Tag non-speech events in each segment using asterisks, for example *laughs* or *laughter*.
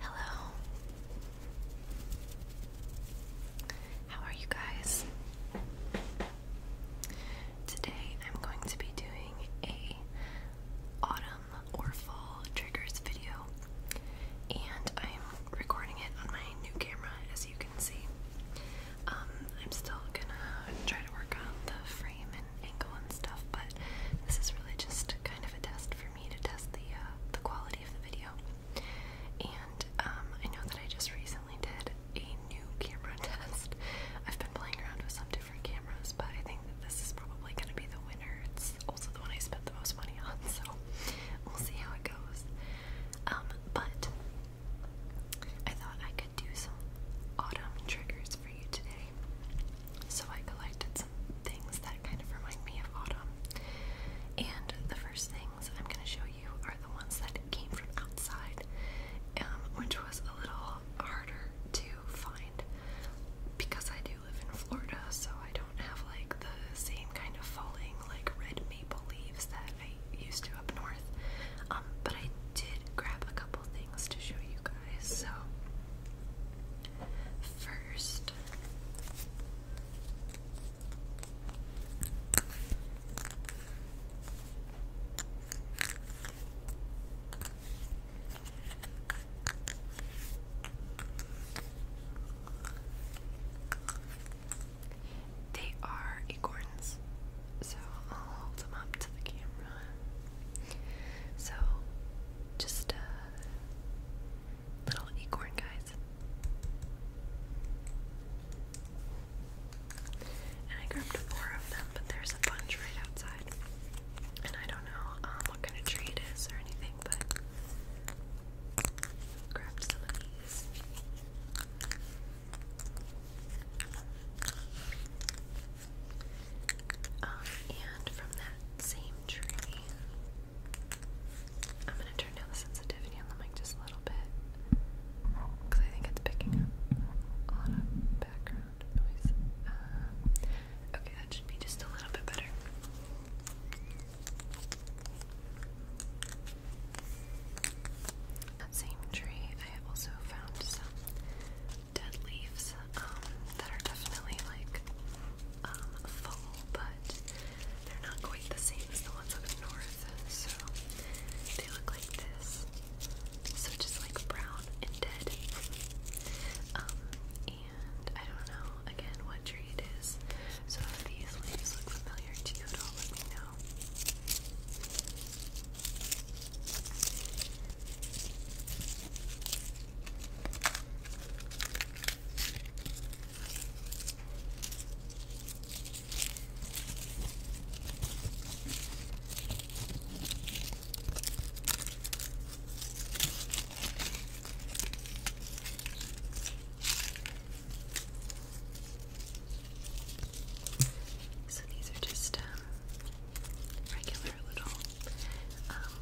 Hello. How are you guys? Today I'm going to be doing a autumn or fall triggers video and I'm recording it on my new camera as you can see. Um, I'm still gonna try to work on the frame angle and stuff, but this is really just kind of a test for me to test the uh, the quality of the video. And um, I know that I just recently did a new camera *laughs* test. I've been playing around with some different cameras, but I think that this is probably going to be the winner. It's also the one I spent the most money on, *laughs* so we'll see how it goes. Um, but I thought I could do some autumn triggers for you today. So I collected some things that kind of remind me of autumn. And the first things I'm going to show you are the ones that came from outside, um, which was a little harder to find because I do live in Florida, so I don't have like the same kind of falling like red maple leaves that I used to up north. Um, but I did grab a couple things to show you guys. So, first, they are acorns, so I'll hold them up to the camera. So, just uh, little acorn guys. And I grabbed four of them, but there's a bunch right outside. And I don't know um, what kind of tree it is or anything, but grabbed some of these. Um, and from that same tree, I'm going to turn down the sensitivity on the mic just a little bit because I think it's picking up a lot of background noise. Um, okay, that should be just a little bit better. That same tree, I also found some dead leaves um, that are definitely like um, but they're not quite the same as the ones up north. So they look like this. So just like brown and dead. Um, and I don't know again what tree it is. So if these leaves look familiar to you at all, let me know. So these are just um, regular little um,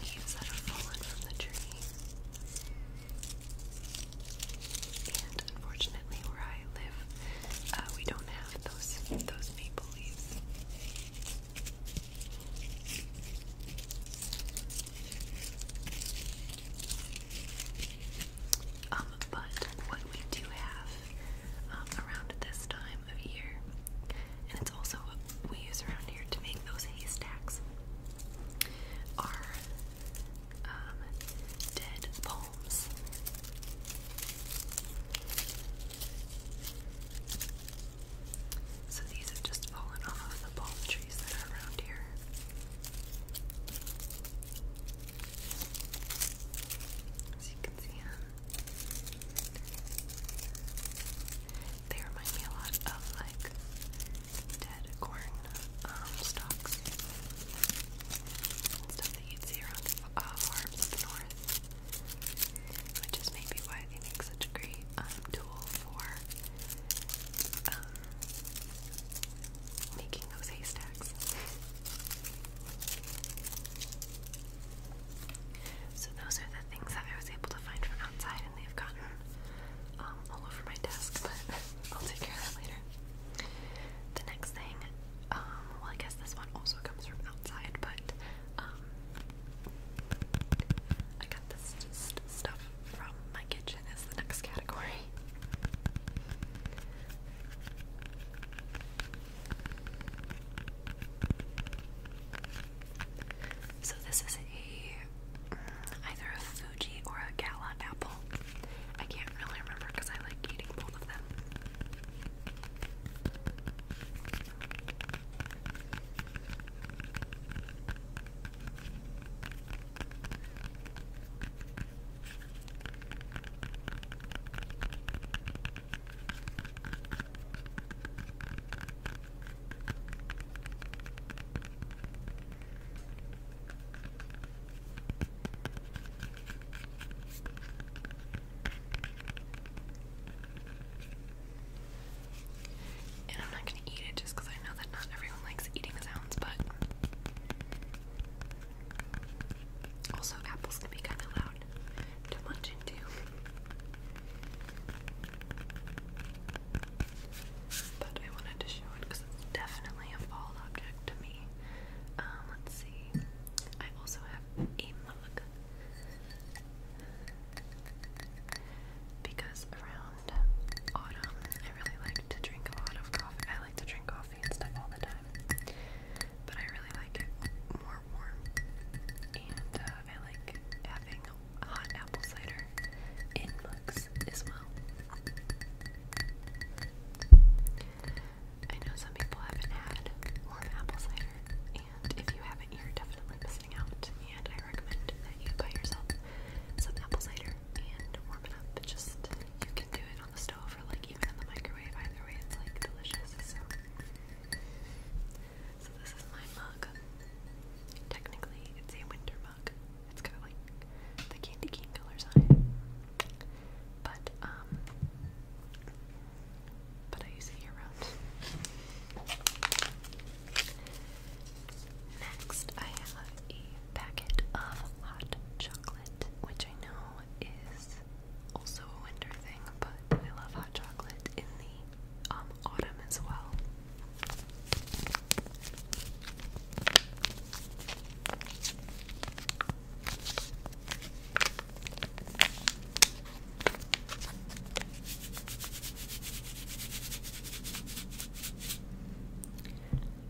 leaves that have from the tree. And unfortunately, where I live, uh, we don't have those those maple leaves. Um, but what we do have um, around this time of year. And it's also what we use around here to make those haystacks are um, dead palms. So these have just fallen off the palm trees that are around here can They remind me a lot of like dead corn um, stalks stuff that you'd see around uh, farms up north, which is maybe why they make such a great um, tool for um, making those haystacks. So those are the things that I was able to find from outside, and they've gotten um, all over my desk, but *laughs* I'll take care of that later. The next thing, um, well, I guess this one also comes from outside, but um, I got this stuff from my kitchen, is the next category. So this is a mm, either a Fuji or a Gala apple. I can't really remember because I like eating both of them. And I'm not gonna eat it just I know that not everyone likes eating sounds, but also, apples can be kind of loud to munch into. But I wanted to show it because it's definitely a fall object to me. Um, let's see. I also have a mug. Because around autumn, I really like to drink a lot of coffee. I like to drink coffee all the time. But I really like it more warm. And uh, I like having hot apple cider in books as well. I know some people haven't had warm apple cider, and if you haven't, you're definitely missing out. And I recommend that you buy yourself some apple cider and warm it up. Just you can do it on the stove or like even in the microwave. Either way, it's like delicious. So, this is my mug. Technically, it's a winter mug. It's kind of like the candy cane colors on it, but um, but I use it year round. Next, I have a packet of hot chocolate, which I know is also a winter thing, but I love hot chocolate in the um, autumn as well.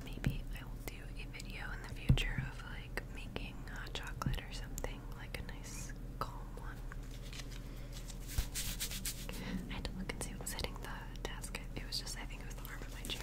Maybe I will do a video in the future of like making hot chocolate or something, like a nice calm one. I had to look and see what was hitting the desk. It was just, I think it was the arm of my chair.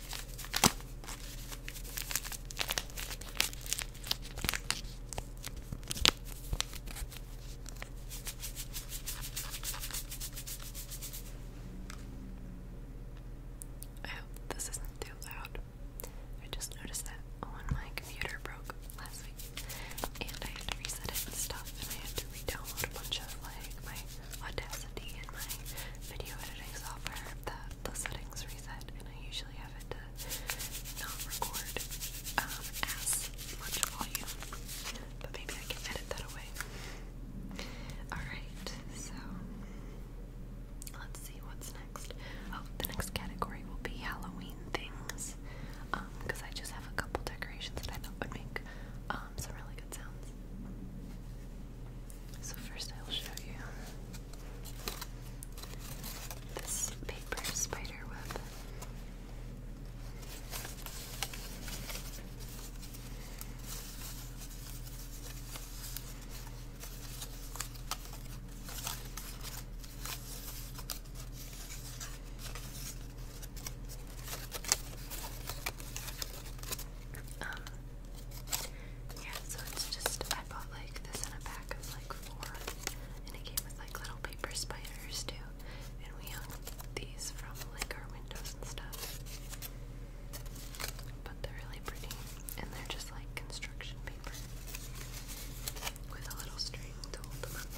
I hope this isn't too loud. I just noticed that on my computer broke last week, and I had to reset it and stuff, and I had to re-download a bunch of like my Audacity in my video editing software that the settings reset, and I usually have it to not record um, as much volume, but maybe I can edit that away. Alright, so let's see what's next. Oh, the next category will be Halloween things. because um, I just have a couple decorations that I thought would make um, um, some really good sounds. So first I will show you this paper spider web. Um, yeah, so it's just, I bought like this in a pack of like four, and it came with like little paper spiders too, and we hung these from like our windows and stuff. But they're really pretty, and they're just like construction paper with a little string to hold them up.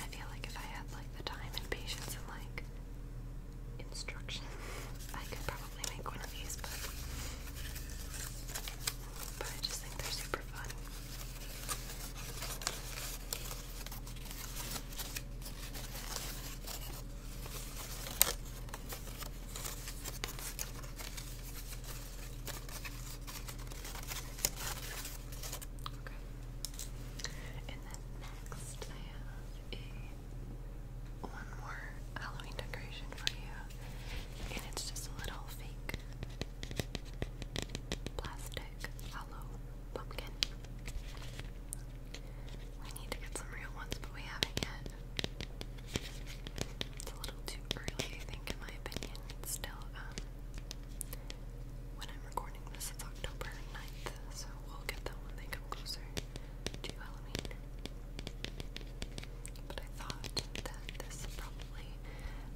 I feel like if I had like the time and patience and like instruction. I could probably make one of these, but I just think they're super fun. And then next I have one more Halloween decoration for you. And it's just a little fake plastic hollow pumpkin. We need to get some real ones, but we haven't yet. It's a little too early, I think, in my opinion. still um, when I'm recording this, it's October 9th, so we'll get them when they come closer to Halloween. But I thought that this probably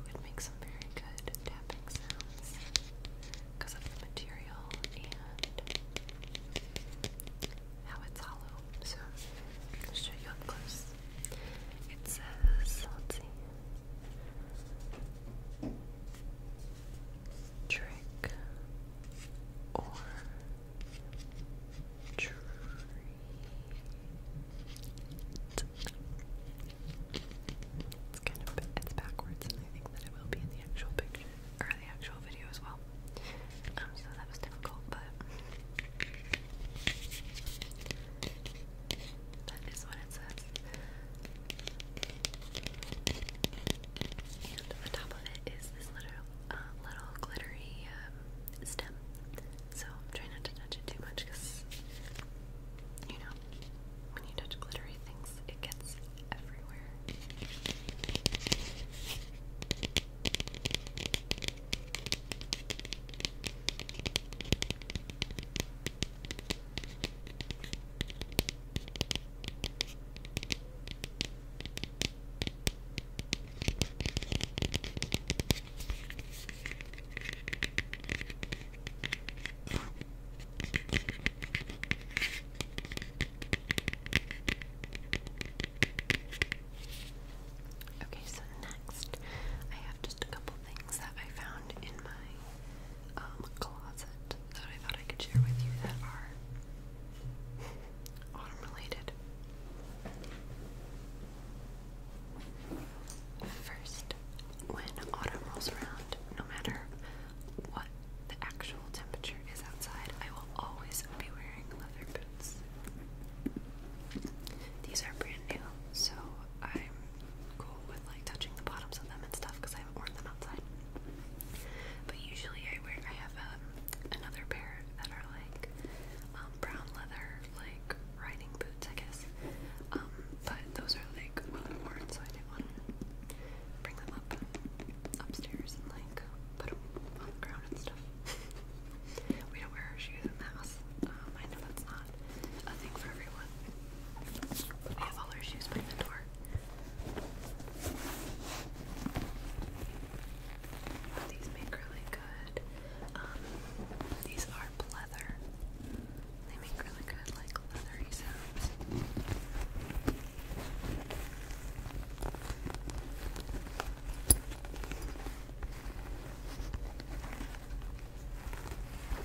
would make some very good tapping sounds because of the material and how it's hollow. So I'll show you up close. It says, let's see, Trick or treat. It's kind of it's backwards, and I think that it will be in the actual picture or the actual video as well. Um, so that was difficult, but that is what it says. And the top of it is this little, uh, little glittery um, stem. So I'm trying not to touch it too much because, you know, when you touch glittery things, it gets everywhere. Okay, so next I have just a couple things that I found in my um, closet that I thought I could share with you that are *laughs* autumn related. First, when autumn rolls around, no matter what the actual temperature is outside, I will always be wearing leather boots. These are brand new, so I'm cool with like touching the bottoms of them and stuff because I haven't worn them outside. But usually I wear I have um, another pair that are like um, brown leather like riding boots I guess. Um, but those are like well worn so I didn't want to bring them up upstairs and like put them on the ground and stuff. *laughs* we don't wear our shoes in the house class. Um, oh, I know that's not a thing for everyone. We have all our shoes by the door. these make really good. Um, these are pleather. They make really good, like leathery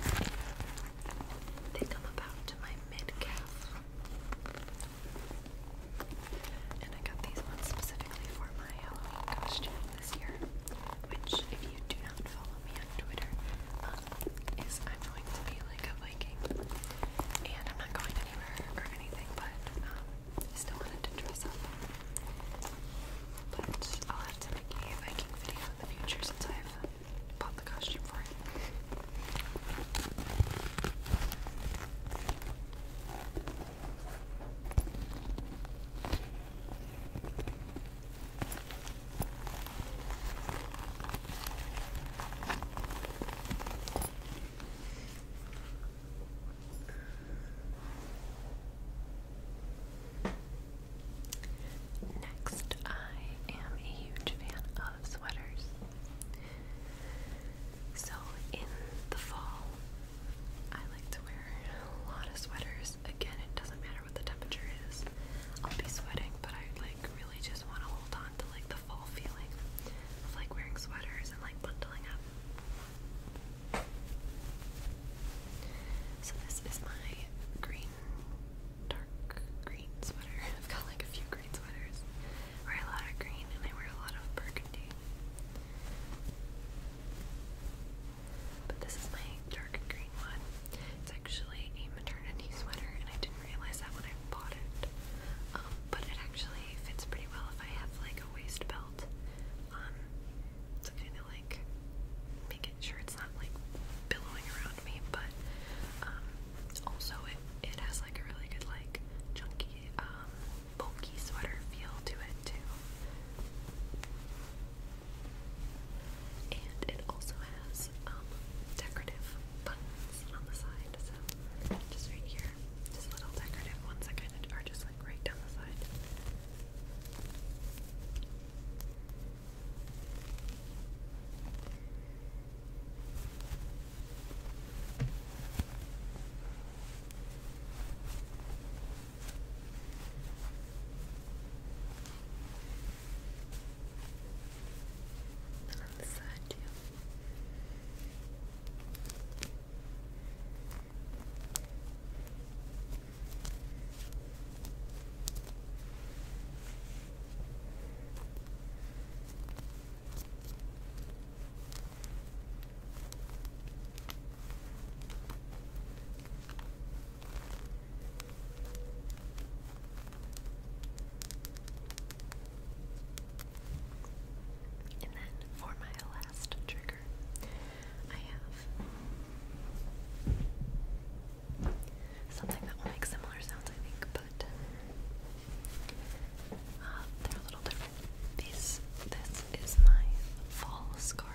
I think am about to my mid-calf. And I got these ones specifically for my Halloween costume this year, which if you do not follow me on Twitter, um, is i going to be like a Viking. And I'm not going anywhere or anything, but um, I still wanted to dress up. But I'll have to make a Viking video in the future since I've bought the costume for it. Next, I am a huge fan of sweaters. So, in the fall, I like to wear a lot of sweaters. Again, it doesn't matter what the temperature is, I'll be sweating, but I like really just want to hold on to like the fall feeling of like wearing sweaters and like bundling up. So this is my green, dark green sweater. *laughs* I've got like a few green sweaters. wear a lot of green and I wear a lot of burgundy. But this is my dark green one. It's actually a maternity sweater and I didn't realize that when I bought it. Um, but it actually fits pretty well if I have like a waist belt to kind of like making sure it's not like billowing around me, but um, also it, it has like a really good like chunky, um, bulky sweater feel to it too. And it also has um, decorative buttons on the side, so just right here, just little decorative ones that kind of are just like right down the side. And on the side too. And then for my last trigger, I have something that will make similar sounds, I think, but uh, they're a little different. This, this is my fall scarf.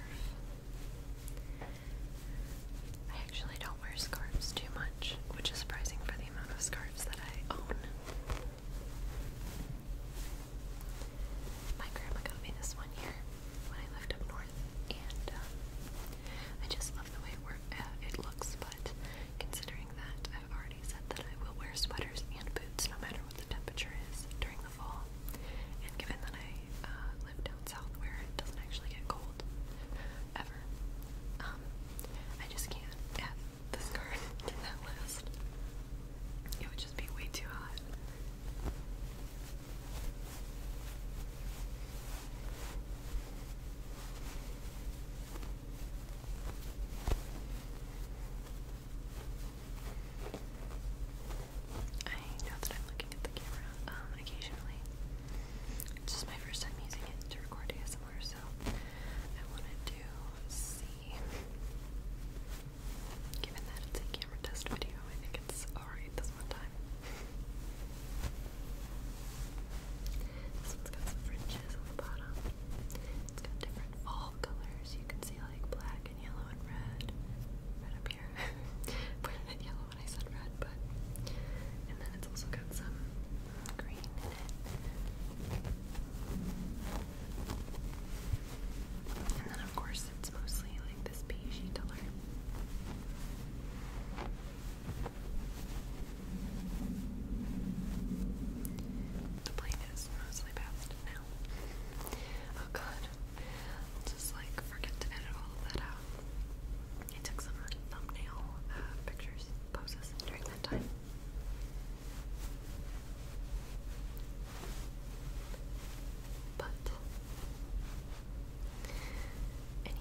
I actually don't wear scarves too much, which is surprising for the amount of scarves that I own. My grandma got me this one here when I lived up north, and um, I just love the way uh, it, looks. But considering that I've already said that I will wear sweaters and boots no matter what the temperature is during the fall, and given that I uh, live down south where it doesn't actually get cold ever, um, I just can't add the scarf *laughs* to that list. It would just be way too hot. I know that I'm looking at the camera um, occasionally. It's just my first time using it to record ASMR, so I wanted to see Given that it's a camera test video, I think it's alright this one time. this one's got some fringes on the bottom. It's got different fall colors. You can see like black and yellow and red. Red up here. Put *laughs* it yellow when I said red, but. And then it's also got some green in it. And then, of course, it's mostly like this beigey color. The plane is mostly past now. Oh god. just like forget to edit all that out. I took some thumbnail uh, pictures, poses during that time. But anyway,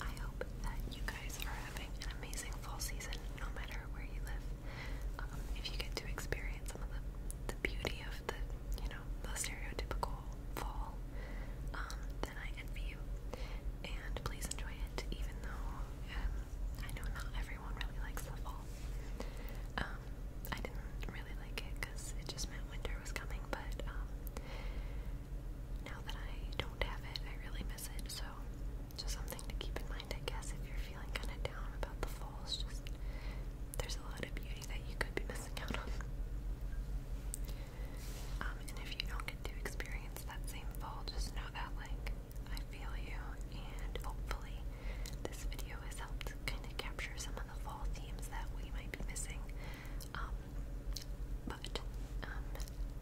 I hope that you guys are having an amazing fall season no matter where you live. Um, if you get to experience some of the, beauty of the, you know, the stereotypical fall, um, then I envy you. And please enjoy it, even though um, I know not everyone really likes the fall. Um, I didn't really like it because it just meant winter was coming, but um, now that I don't have it, I really miss it. So, just something to keep in mind, I guess, if you're feeling kind of down about the fall. It's just there's a lot of beauty that you could be missing out on. Um, and if you don't get to experience that same fall, just know that, like, I feel you, and hopefully, this video has helped kind of capture some of the fall themes that we might be missing. Um, but um,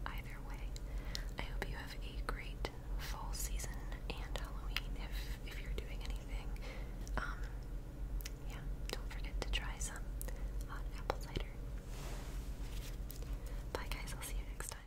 either way, I hope you have a great fall season and Halloween. If if you're doing anything, um, yeah, don't forget to try some apple cider. Bye, guys. I'll see you next time.